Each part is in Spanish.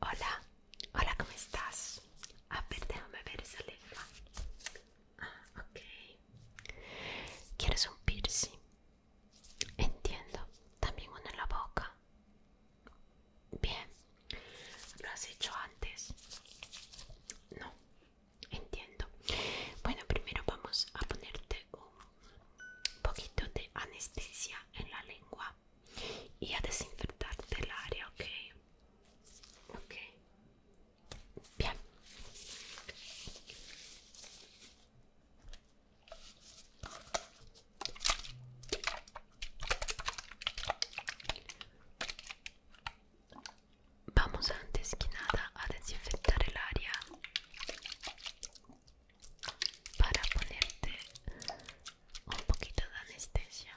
Hola, hola, ¿cómo estás? A ver, déjame ver esa lengua. Ah, ok. ¿Quieres un piercing? Entiendo. También uno en la boca. Bien. ¿Lo has hecho antes? No. Entiendo. Bueno, primero vamos a ponerte un poquito de anestesia en la lengua qua e a disinfettarti l'aria, ok? Ok, bien. Vamos antes que nada a desinfectar el área para ponerte un poquito de anestesia.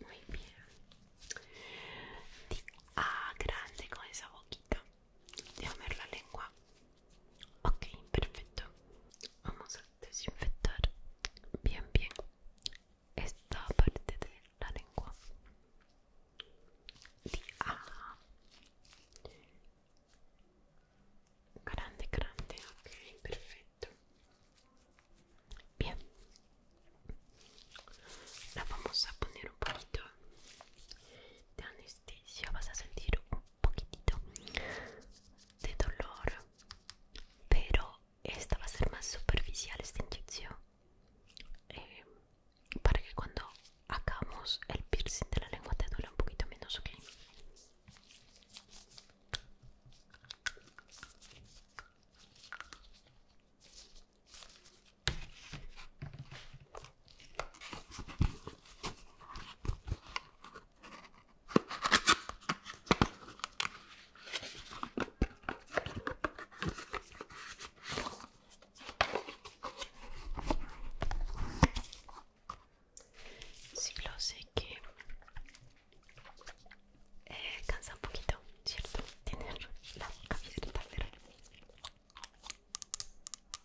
Muy bien. Ah, grande con esa boquita. Déjame ver la lengua. Ok, perfecto. Vamos a desinfectar bien, bien esta parte de la lengua grande grande ok perfecto bien la vamos a poner un poquito de anestesia vas a sentir un poquitito de dolor pero esta va a ser más superficial esta inyección eh, para que cuando hagamos el piercing de la lengua te duele un poquito menos, ¿ok? Sí, lo sé que eh, cansa un poquito, ¿cierto? Tener la boca bien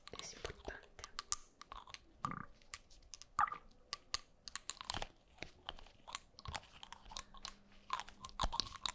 pero es importante.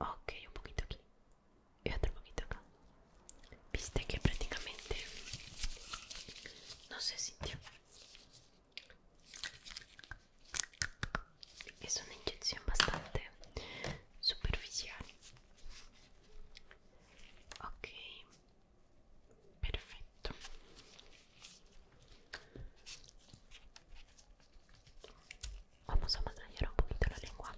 ok un poquito aquí y otro poquito acá viste que prácticamente no se sintió es una inyección bastante superficial ok perfecto Vamos a masajear un poquito la lengua.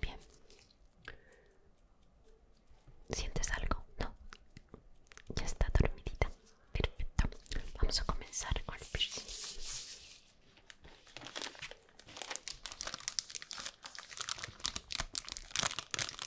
Bien. ¿Sientes algo? No. Ya está dormidita. Perfecto. Vamos a comenzar con el piercing.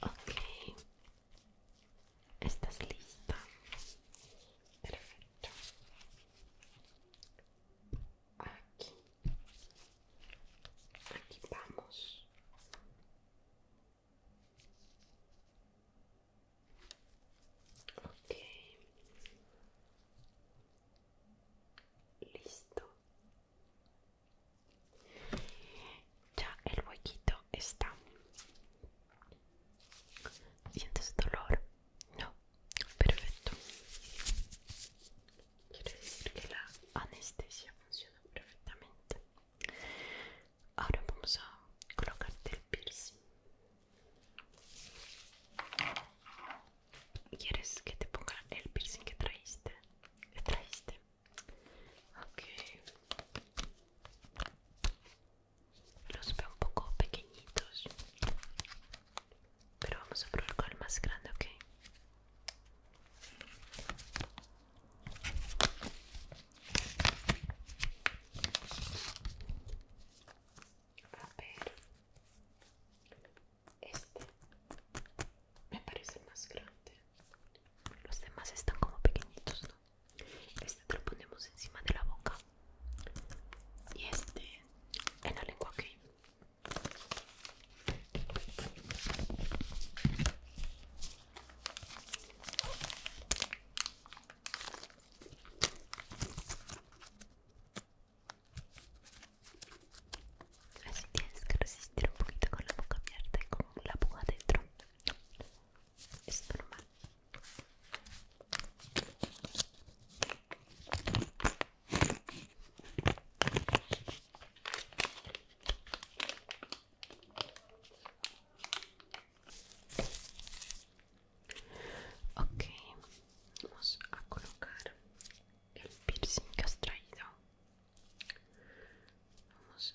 Ok, estás lista. Perfecto. Aquí, aquí vamos. Ok. Listo. Ya el huequito está. ¿Sientes dolor? No. Perfecto. Quiere decir que la anestesia funciona perfectamente. Ahora vamos a colocarte el piercing. ¿Quieres que te ponga el piercing que traiste? ¿Que traíste? Ok. Los veo un poco pequeñitos. Pero vamos a probar con el más grande, ok. A ver, este me parece más grande. Los demás están como pequeñitos, ¿no? Este te lo ponemos encima de la boca y este en la lengua, ¿ok? Así tienes que resistir un poquito con la boca abierta y con la puja dentro. Es normal. Ok, vamos a colocar el piercing que has traído. Vamos.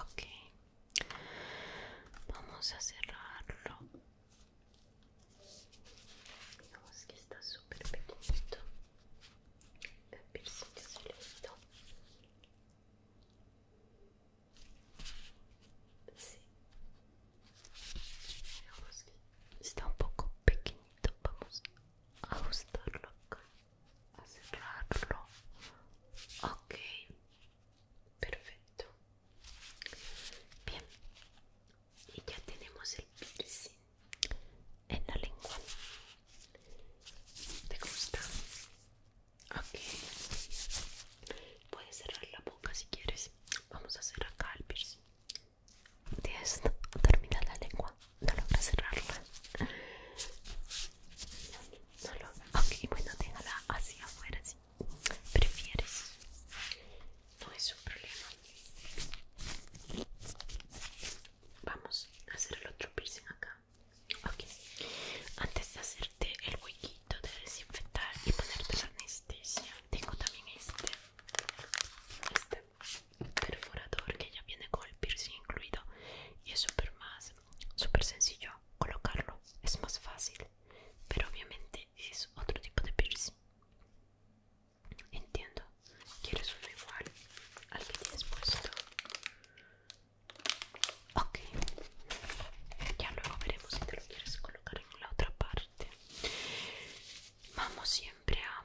ok vamos a cerrarlo vemos que está super pequeñito el piercing que se le quitó sí vemos que está un poco pequeño. vamos a ajustarlo acá a cerrarlo ok perfecto bien y ya tenemos el piercing en la lengua te gusta ok puedes cerrar la boca si quieres vamos a cerrar acá el piercing esto, termina la lengua, no logra cerrarla. No ok, bueno, déjala así afuera, si prefieres. No es un problema. Vamos a hacer el otro piercing acá. Ok, antes de hacerte el huequito de desinfectar y ponerte la anestesia, tengo también este. Este perforador que ya viene con el piercing incluido y es súper más súper sencillo colocarlo es más fácil pero obviamente es otro tipo de piercing entiendo quieres uno igual al que tienes puesto ok ya luego veremos si te lo quieres colocar en la otra parte vamos siempre a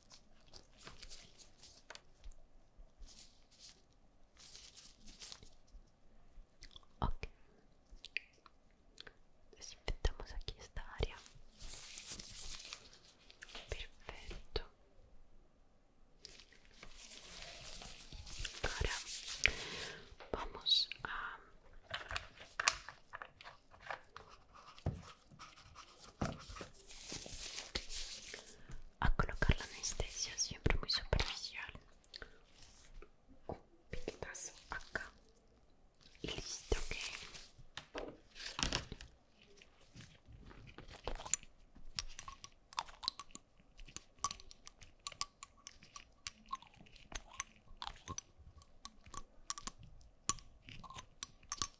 Ok, desinfectamos aquí esta área. Perfecto. Ahora vamos a a colocar la anestesia siempre muy superficial un acá y listo que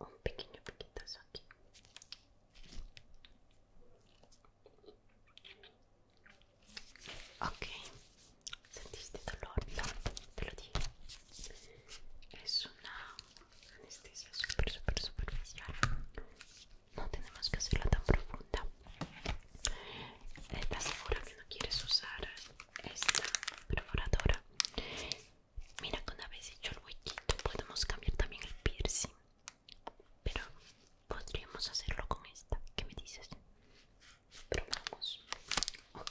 un pequeño piquetazo aquí ok sentiste dolor no te lo digo es una anestesia super super superficial no tenemos que hacerlo tan profunda. ¿Estás segura que no quieres usar esta perforadora? Mira que una vez hecho el huequito podemos cambiar también el piercing. Pero podríamos hacerlo con esta. ¿Qué me dices? Probamos. Ok.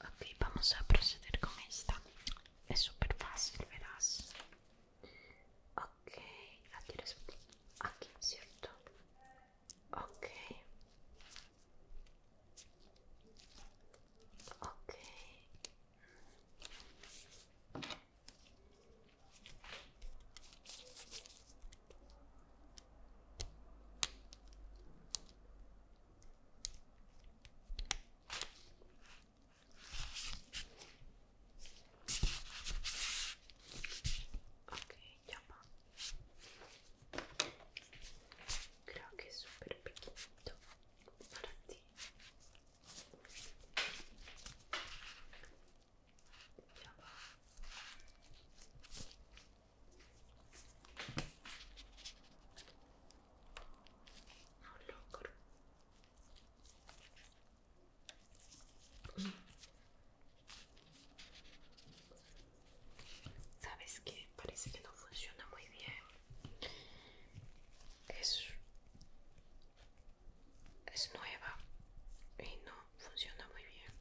Ok, vamos a proceder con esta. Es súper fácil, verás. Ok, la quieres aquí, ¿cierto? Ok. Ok. Ok, ya va. Creo que es súper pequeñito para ti. Ya va. Sabes que parece que no funciona muy bien. Es, es nueva y no funciona muy bien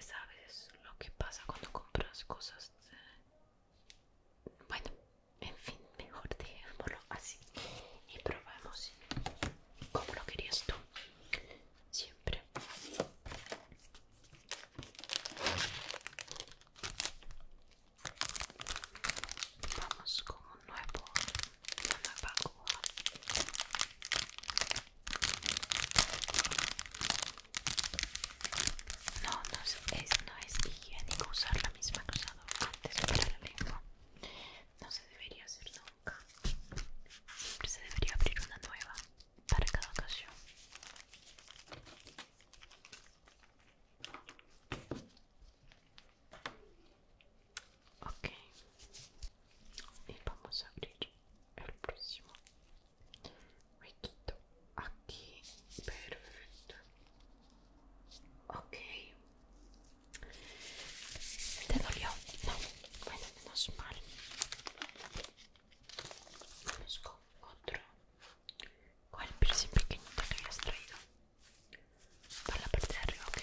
sabes lo que pasa cuando compras cosas bueno en fin mejor dejémoslo así y probamos como lo querías tú siempre vamos con un nuevo una nueva no, no es, no es higiénico usar la misma cosa antes para la lengua. No se debería hacer nunca. Siempre se debería abrir una nueva para cada ocasión. Ok. Y vamos a abrir el próximo me aquí perfecto okay te dolió no bueno menos mal vamos con otro cuál piercing pequeñito que hayas traído para la parte de arriba ok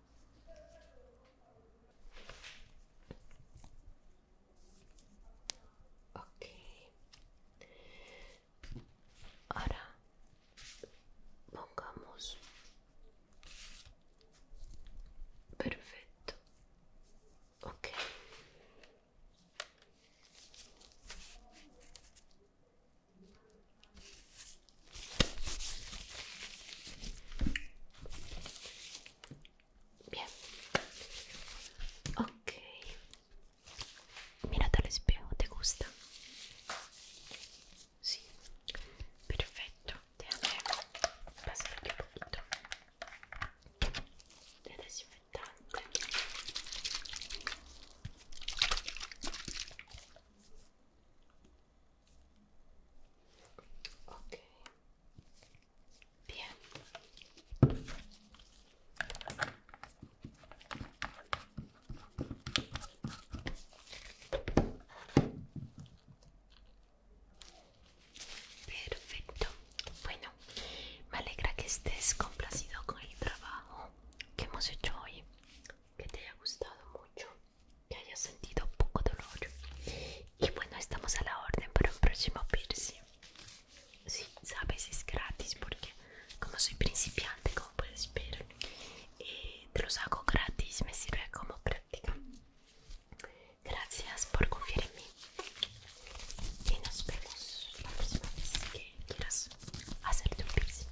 Ok. Ahora pongamos. Perfecto. Ok. Bien. Ok. Mírate al espejo, ¿te gusta? Sí. Perfecto. Déjame pasar aquí un poquito de desinfectante. Bien. Perfecto. Bueno, me alegra que estés complacido con el trabajo que hemos hecho hoy, que te haya gustado mucho que hayas sentido un poco dolor. Y bueno, estamos a la orden para un próximo piercing. si sabes, es gratis porque como soy principiante, como puedes ver, eh, te los hago gratis, me sirve como práctica. Gracias por confiar en mí. Y nos vemos la próxima vez que quieras hacer tu piercing.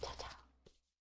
Chao, chao.